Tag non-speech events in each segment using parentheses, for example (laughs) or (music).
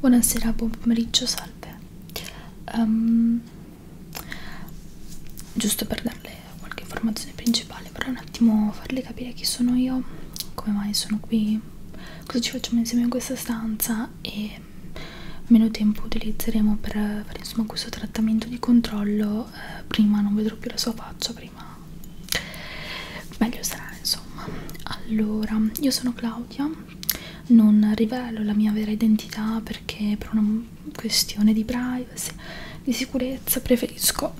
Buonasera, buon pomeriggio, salve. Um, giusto per darle qualche informazione principale, vorrei un attimo farle capire chi sono io, come mai sono qui, cosa ci facciamo insieme in questa stanza e meno tempo utilizzeremo per fare insomma questo trattamento di controllo. Eh, prima non vedrò più la sua faccia prima meglio sarà insomma allora io sono Claudia non rivelo la mia vera identità perché per una questione di privacy di sicurezza preferisco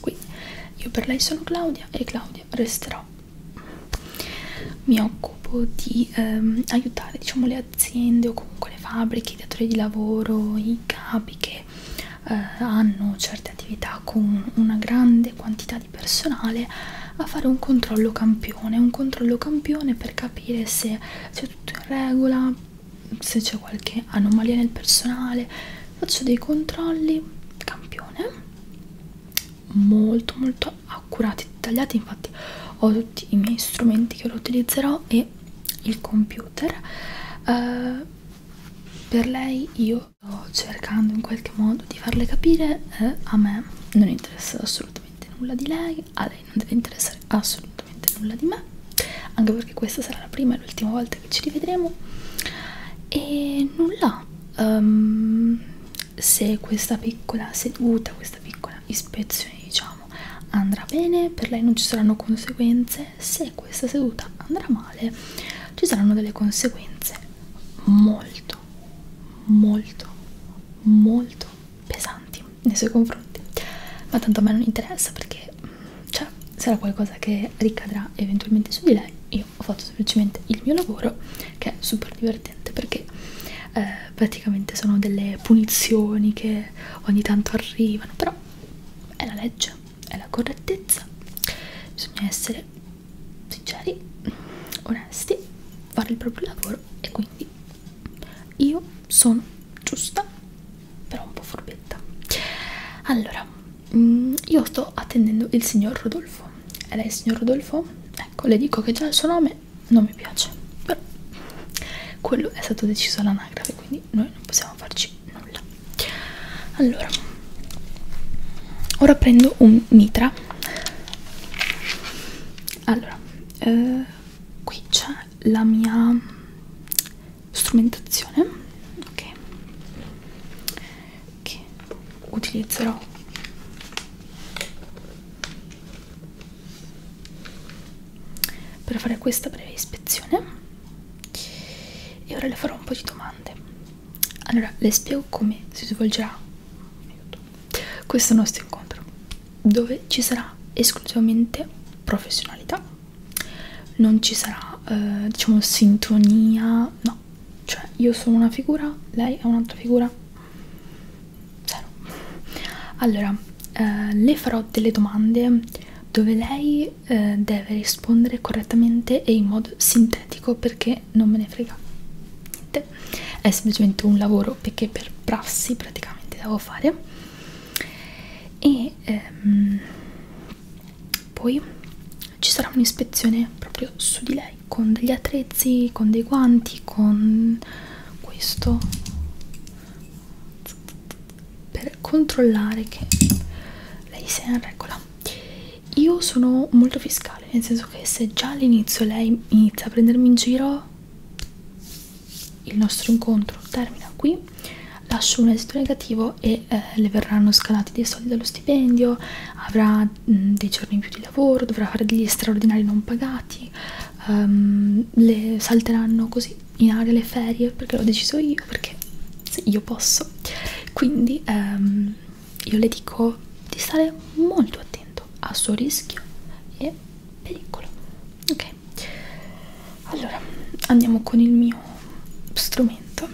qui io per lei sono Claudia e Claudia resterò mi occupo di ehm, aiutare diciamo le le aziende o comunque le fabbriche, i datori di lavoro, i capi che eh, hanno certe attività con una grande quantità di personale a fare un controllo campione, un controllo campione per capire se c'è tutto in regola, se c'è qualche anomalia nel personale, faccio dei controlli campione molto molto molto accurati dettagliati infatti ho tutti i miei strumenti che lo utilizzerò e il computer uh, per lei io sto cercando in qualche modo di farle capire eh, a me non interessa assolutamente nulla di lei a lei non deve interessare assolutamente nulla di me anche perché questa sarà la prima e l'ultima volta che ci rivedremo e nulla um, se questa piccola seduta, questa piccola ispezione diciamo andrà bene, per lei non ci saranno conseguenze, se questa seduta andrà male ci saranno delle conseguenze molto, molto, molto pesanti nei suoi confronti, ma tanto a me non interessa perché mm, cioè, sarà qualcosa che ricadrà eventualmente su di lei, io ho fatto semplicemente il mio lavoro che è super divertente perché eh, praticamente sono delle punizioni che ogni tanto arrivano, però è la legge, è la correttezza, bisogna essere sinceri, onesti, fare il proprio lavoro e quindi io sono giusta, però un po' forbetta. Allora, mm, io sto attendendo il signor Rodolfo. E lei, signor Rodolfo? Ecco, le dico che già il suo nome non mi piace però quello è stato deciso all'anagrafe quindi noi non possiamo farci nulla allora ora prendo un mitra allora eh, qui c'è la mia strumentazione ok che utilizzerò per fare questa breve ispezione e ora le farò un po' di domande allora le spiego come si svolgerà questo nostro incontro dove ci sarà esclusivamente professionalità non ci sarà eh, diciamo sintonia no cioè io sono una figura lei è un'altra figura zero allora eh, le farò delle domande dove lei eh, deve rispondere correttamente e in modo sintetico perché non me ne frega niente è semplicemente un lavoro perché per prassi praticamente devo fare e ehm, poi ci sarà un'ispezione proprio su di lei con degli attrezzi, con dei guanti avanti con questo per controllare che lei sia in regola io sono molto fiscale nel senso che se già all'inizio lei inizia a prendermi in giro il nostro incontro termina qui lascio un esito negativo e eh, le verranno scalati dei soldi dallo stipendio avrà mh, mm, dei giorni in più di lavoro dovrà fare degli straordinari non pagati um, le salteranno così in aria le ferie perché l'ho deciso io perché io posso quindi um, io le dico di stare molto attento al suo rischio e pericolo ok allora andiamo con il mio strumento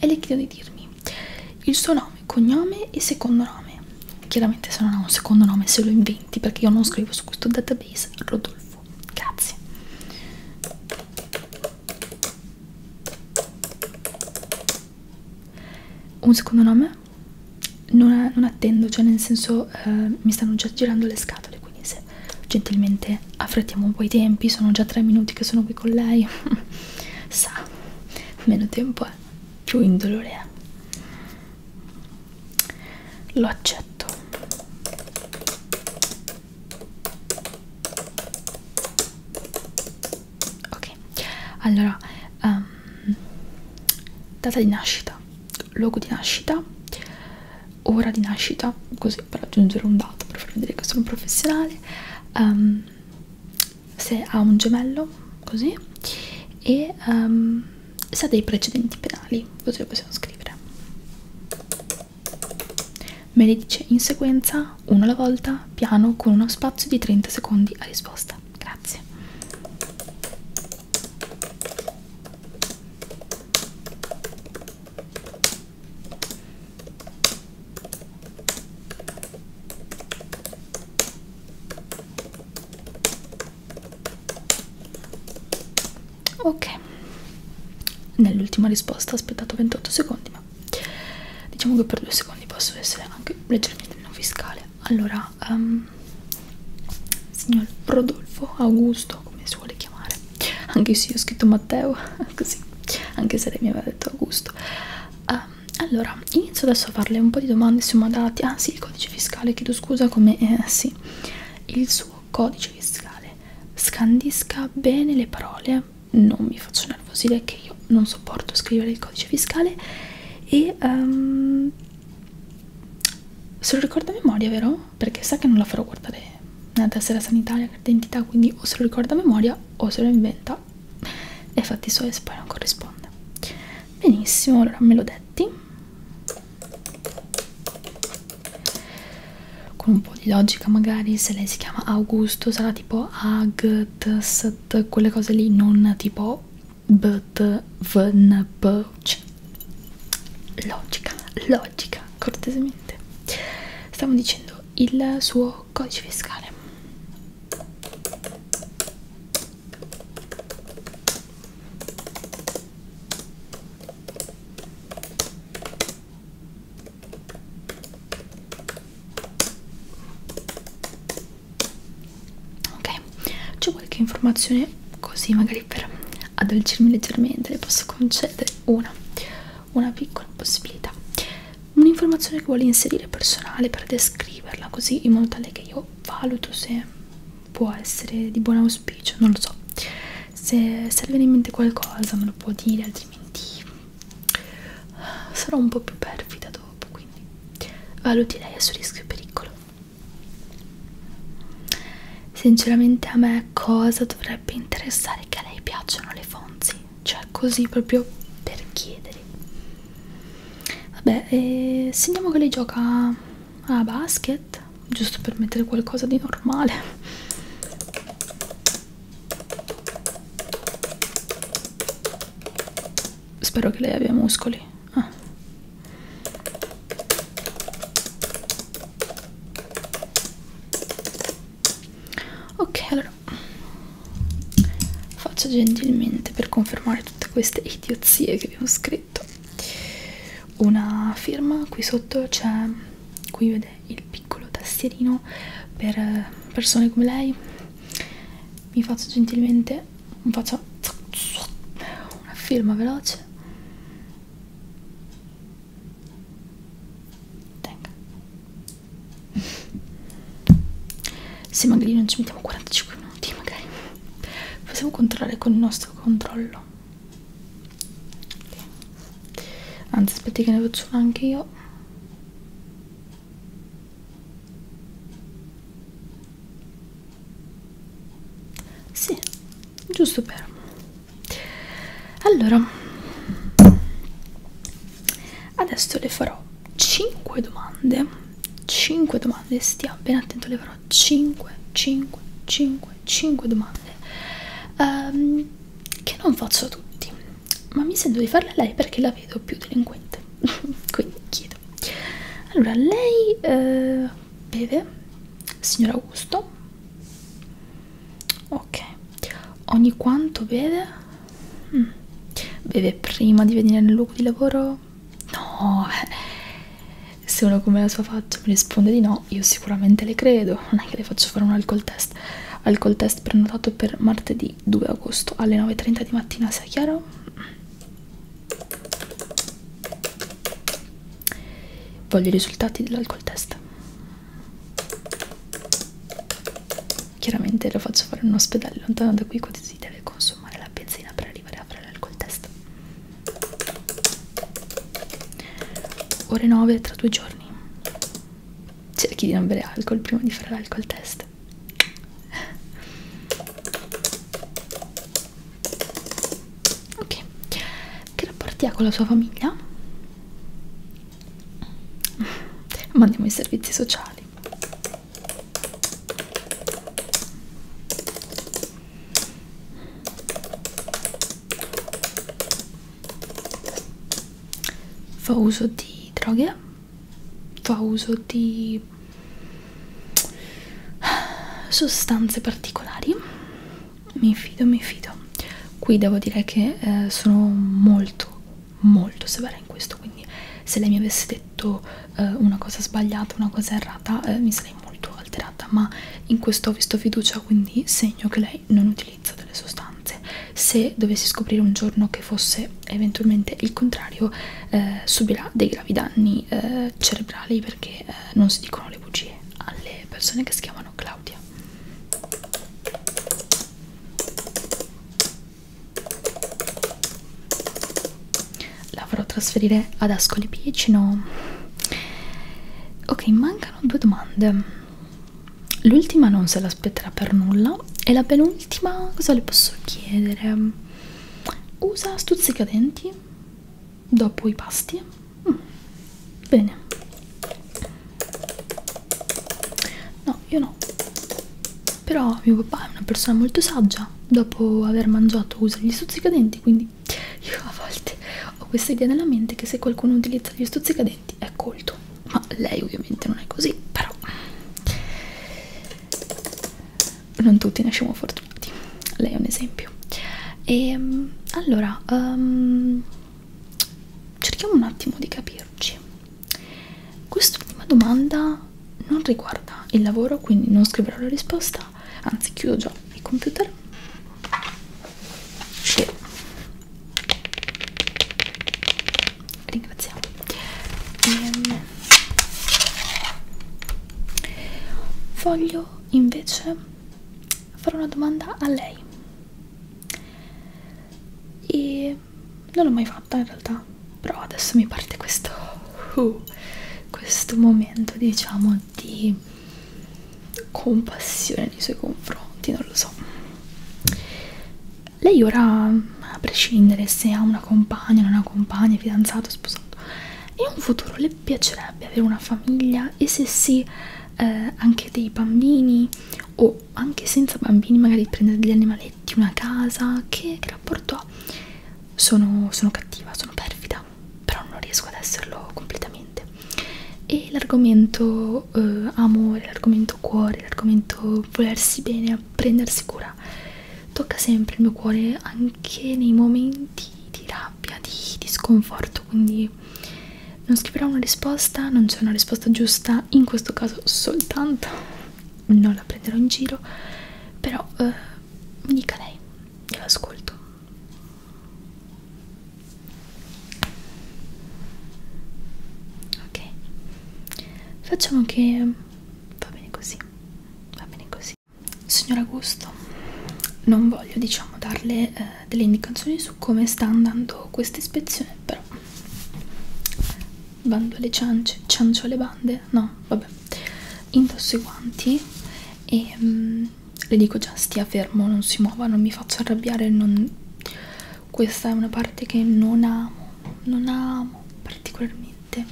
e le chiedo di dirmi il suo nome nome, cognome e secondo nome. Chiaramente se non ha un secondo nome se lo inventi perché io non scrivo su questo database Rodolfo. Grazie. Un secondo nome? Non, non attendo, cioè nel senso eh, mi stanno già girando le scatole, quindi se gentilmente affrettiamo un po' i tempi, sono già tre minuti che sono qui con lei, (laughs) sa, meno tempo è, più indolore è lo accetto ok allora um, data di nascita luogo di nascita ora di nascita così per aggiungere un dato per far vedere che sono un professionale um, se ha un gemello così e um, se ha dei precedenti penali così lo possiamo scrivere me li dice in sequenza uno alla volta piano con uno spazio di 30 secondi a risposta grazie ok nell'ultima risposta ho aspettato 28 secondi ma diciamo che per due secondi posso essere anche leggermente non fiscale allora um, signor Rodolfo Augusto come si vuole chiamare anche se io ho scritto Matteo (laughs) così anche se lei mi aveva detto Augusto uh, allora inizio adesso a farle un po' di domande su mandati ah sì il codice fiscale chiedo scusa come eh, sì il suo codice fiscale scandisca bene le parole non mi faccio nervosire che io non sopporto scrivere il codice fiscale e um, se lo ricordo a memoria vero? perché sa che non la farò guardare nella tessera sanitaria carta d'identità quindi o se lo ricorda a memoria o se lo inventa e fatti suoi poi non corrisponde benissimo allora me lo detti con un po' di logica magari se lei si chiama Augusto sarà tipo Ag, T, S, T quelle cose lì non tipo B, T, V, N, P logica, logica cortesemente stiamo dicendo il suo codice fiscale Ok, c'è qualche informazione così magari per addolcirmi leggermente, le posso concedere una, una piccola possibilità. Un'informazione che vuole inserire personale per descriverla così in modo tale che io io valuto se può essere di buon auspicio, non lo so. Se serve in mente qualcosa me lo può dire, altrimenti sarò un po' più perfida dopo, quindi valuti lei a suo rischio e pericolo. Sinceramente a me cosa dovrebbe interessare che a lei piacciono le fonzi? Cioè così proprio per chiedere. Vabbè, e segniamo che lei gioca a basket, giusto per mettere qualcosa di normale. Spero che lei abbia muscoli. Ah. Ok, allora faccio gentilmente per confermare tutte queste idiozie che vi ho scritto una firma qui sotto c'è qui vede il piccolo tastierino per persone come lei mi faccio gentilmente faccio una firma veloce Tenga se magari non ci mettiamo 45 minuti magari possiamo controllare con il nostro controllo okay. anzi aspetti che ne faccio anche io sì giusto per allora adesso le farò 5 domande 5 domande stia ben attento le farò 5 5 5 5 domande um, che non faccio a tutti ma mi sento di farle a lei perché la vedo più delinquente (laughs) quindi chiedo allora lei uh, beve signor Augusto ok ogni quanto beve mm. beve prima di venire nel luogo di lavoro no eh, se uno come la sua faccia mi risponde di no io sicuramente le credo non è che le faccio fare un alcol test alcol test prenotato per martedì 2 agosto alle 9.30 di mattina sia chiaro voglio i risultati dell'alcol test chiaramente lo faccio fare in un ospedale lontano da qui quando si deve consumare la benzina per arrivare a fare l'alcol test ore 9 tra due giorni cerchi di non bere alcol prima di fare l'alcol test ok che rapporti ha con la sua famiglia? mandiamo i servizi sociali Fa uso di droghe, fa uso di sostanze particolari. Mi fido, mi fido. Qui devo dire che eh, sono molto molto severa in questo quindi se lei mi avesse detto eh, una cosa sbagliata una cosa errata eh, mi sarei molto alterata ma in questo ho visto fiducia quindi segno che lei non utilizza delle sostanze se dovessi scoprire un giorno che fosse eventualmente il contrario eh, subirà dei gravi danni eh, cerebrali perché eh, non si dicono le bugie alle persone che si chiamano Claudia la farò trasferire ad Ascoli Piceno. Ok, mancano due domande. L'ultima non se l'aspetterà per nulla. E la penultima, cosa le posso chiedere? Usa stuzzicadenti dopo i pasti? Mm. Bene. No, io no. Però mio papà è una persona molto saggia. Dopo aver mangiato usa gli stuzzicadenti, quindi io a volte ho questa idea nella mente che se qualcuno utilizza gli stuzzicadenti è colto. Ma lei ovviamente non è così, però non tutti ne siamo fortunati. Lei è un esempio. E ehm, allora um, cerchiamo un attimo di capirci. Quest'ultima domanda non riguarda il lavoro, quindi non scriverò la risposta, anzi chiudo già il computer. E ringraziamo. Ehm. Voglio invece fare una domanda a lei. E e non l'ho mai fatta in realtà però adesso mi parte questo uh, questo momento diciamo di compassione nei suoi confronti non lo so lei ora a prescindere se ha una compagna non ha compagna, è fidanzato, sposato in un futuro le piacerebbe avere una famiglia e se sì eh, anche dei bambini o anche senza bambini magari prendere degli animaletti una casa che rapporto ho, sono, sono cattiva, sono perfida, però non riesco ad esserlo completamente. E l'argomento eh, amore, l'argomento cuore, l'argomento volersi bene, prendersi cura, tocca sempre il mio cuore anche nei momenti di rabbia, di, di sconforto, quindi non scriverò una risposta, non c'è una risposta giusta, in questo caso soltanto non la prenderò in giro, però eh, mi dica lei, io l'ascolto. Ok, facciamo che va bene così, va bene così. Signor Augusto, non voglio diciamo darle eh, delle indicazioni su come sta andando questa ispezione, però bando alle ciance, ciancio alle bande, no, vabbè, indosso i guanti e mm, le dico già stia fermo, non si muova, non mi faccio arrabbiare, non... questa è una parte che non amo, non amo particolarmente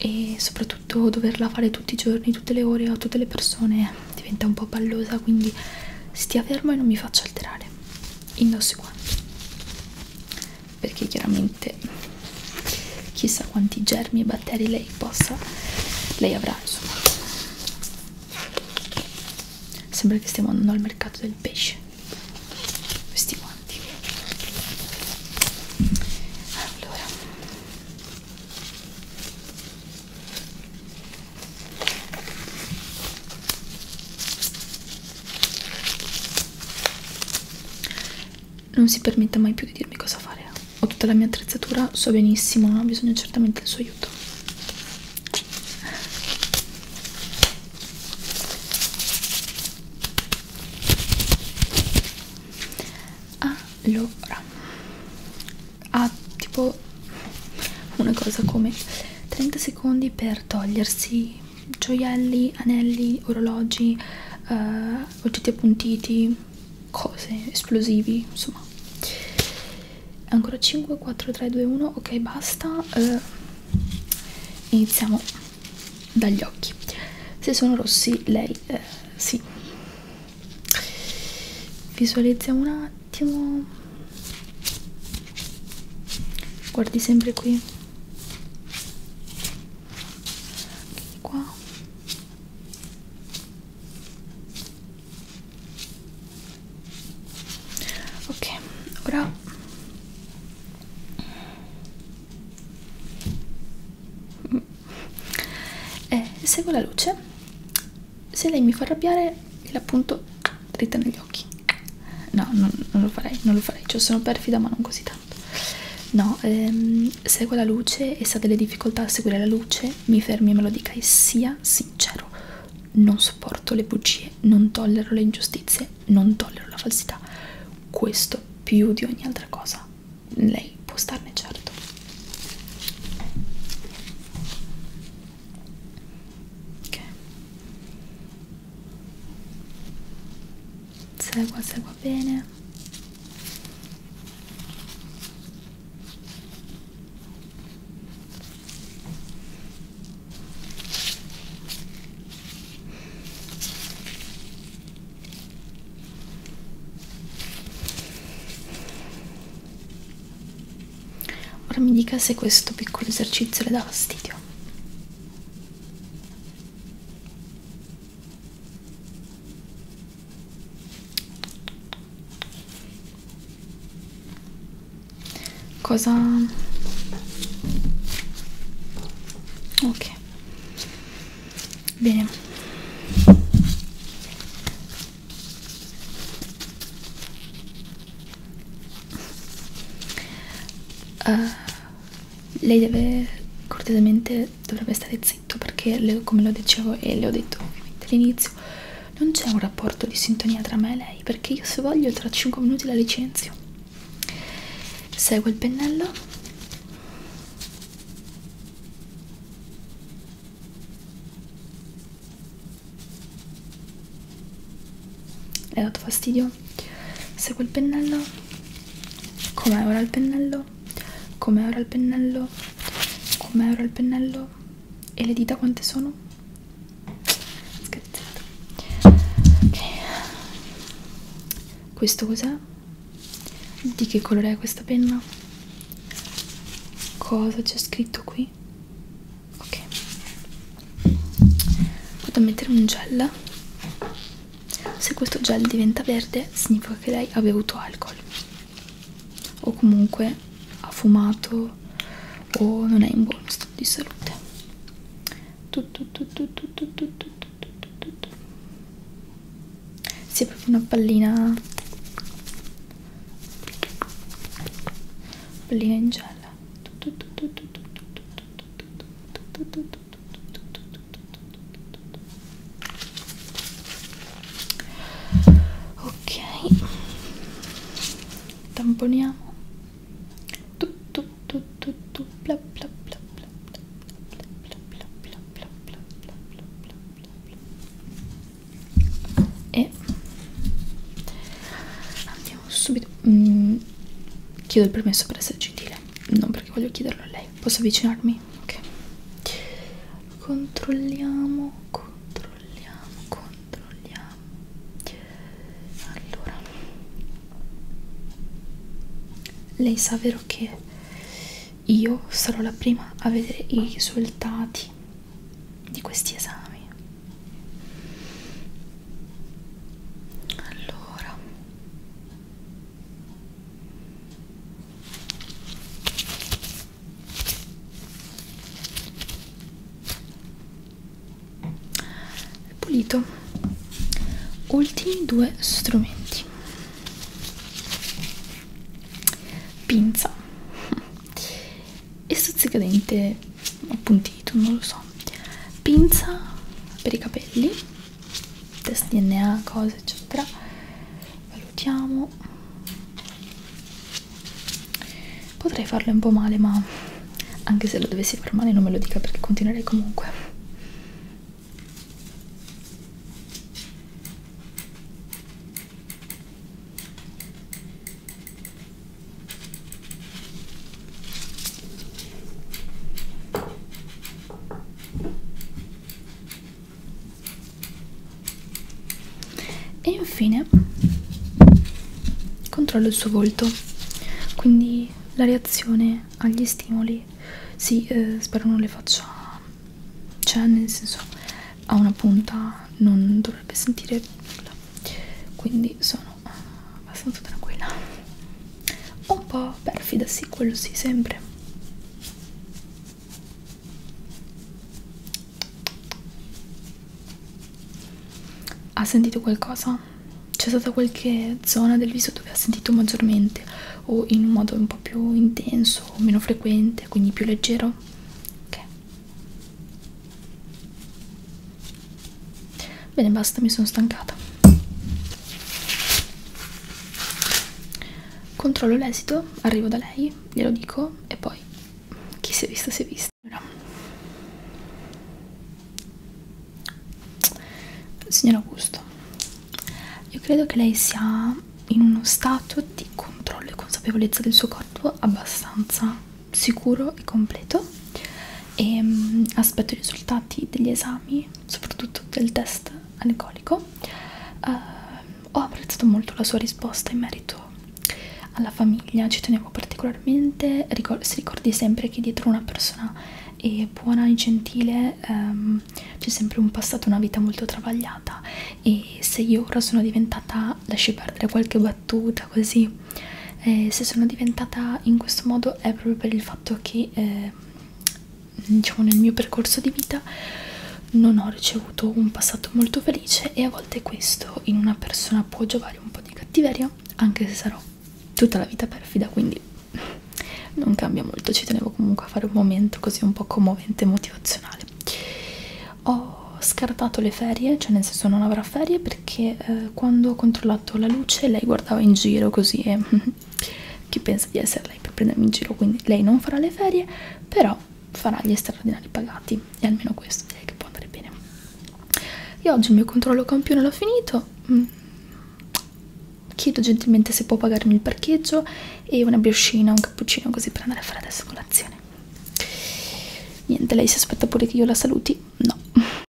e soprattutto doverla fare tutti i giorni, tutte le ore a tutte le persone diventa un po' pallosa, quindi stia fermo e non mi faccio alterare, indosso i guanti perché chiaramente chissà quanti germi e batteri lei possa lei avrà insomma sembra che stiamo andando al mercato del pesce questi guanti allora non si permetta mai più di dirmi cosa fare. Ho tutta la mia attrezzatura, so benissimo, non ho bisogno certamente del suo aiuto. Allora, ha ah, tipo una cosa come 30 secondi per togliersi gioielli, anelli, orologi, eh, oggetti appuntiti, cose, esplosivi, insomma. Ancora 5, 4, 3, 2, 1, ok basta. Eh, iniziamo dagli occhi. Se sono rossi lei eh, sì. Visualizziamo un attimo. Guardi sempre qui anche qua ok ora mm. eh, seguo la luce se lei mi fa arrabbiare la appunto dritta negli occhi no non, non lo farei non lo farei cioè sono perfida ma non così tanto parlando no ehm, seguo la luce e se ha delle difficoltà a seguire la luce mi fermi e me lo dica e sia sincero non sopporto le bugie non tollero le ingiustizie non tollero la falsità questo più di ogni altra cosa lei può starne certo ok segua segua bene Ora mi dica se questo piccolo esercizio le dà fastidio cosa ok bene uh, lei deve cortesemente dovrebbe stare zitto perché le, come lo dicevo e le ho detto ovviamente all'inizio non c'è un rapporto di sintonia tra me e lei perché io se voglio tra 5 minuti la licenzio seguo il pennello le hai dato fastidio? Segue il pennello? Com'è ora il pennello? Com'è ora il pennello? Com'è ora il pennello? E le dita quante sono? Scherzato. Ok. Questo cos'è? Di che colore è questa penna? Cosa c'è scritto qui? Ok. Vado a mettere un gel se questo gel diventa verde significa che lei ha bevuto alcol o comunque ha fumato o non è in buono stato di salute. Si è proprio una pallina pallina in gel ok tamponiamo tutto tutto tutto bla bla bla bla bla bla bla bla bla bla bla bla bla bla e andiamo subito mm, chiedo il permesso per essere gentile non perché voglio chiederlo a lei posso avvicinarmi? ok controlliamo controlliamo controlliamo allora lei sa vero che io sarò la prima a vedere i risultati di questi esami allora pulito ultimi due strumenti pinza (laughs) e stuzzicadente appunto dito, non lo so pinza per i capelli test DNA, cose eccetera valutiamo potrei farle un po' male ma anche se lo dovessi far male non me lo dica perché continuerei comunque e infine controllo il suo volto quindi la reazione agli stimoli sì eh, spero non le faccia cioè nel senso a una punta non dovrebbe sentire nulla quindi sono sono uh, abbastanza tranquilla un po' perfida sì quello sì sempre ha sentito qualcosa? c'è stata qualche zona del viso dove ha sentito maggiormente o in un modo un po' più intenso o meno frequente quindi più leggero? ok Bene, basta, mi sono stancata. Controllo l'esito, arrivo da lei, glielo dico e poi chi si è visto si è visto. Signor Augusto, io credo che lei sia in uno stato di controllo e consapevolezza del suo corpo abbastanza sicuro e completo e um, aspetto i risultati degli esami, soprattutto del test alcolico. Uh, eh, ho apprezzato molto la sua risposta in merito alla famiglia, ci tenevo particolarmente, Ricor si ricordi sempre che dietro una persona e buona e gentile um, c'è sempre un passato, una vita molto travagliata e se io ora sono diventata, lasci perdere qualche battuta così, eh, se sono diventata in questo modo è proprio per il fatto che eh, diciamo nel mio percorso di vita non ho ricevuto un passato molto felice e a volte questo in una persona può giovare un po' di cattiveria anche se sarò tutta la vita perfida quindi non cambia molto ci tenevo comunque a fare un momento così un po' commovente e motivazionale ho scartato le ferie cioè nel senso non avrò ferie perché eh, quando ho controllato la luce lei guardava in giro così e (laughs) chi pensa di essere lei per prendermi in giro quindi lei non farà le ferie però farà gli straordinari pagati e almeno questo direi che può andare bene io oggi il mio controllo campione l'ho finito mm. chiedo gentilmente se può pagarmi il parcheggio e una briochina, un cappuccino così per andare a fare adesso colazione niente lei si aspetta pure che io la saluti? no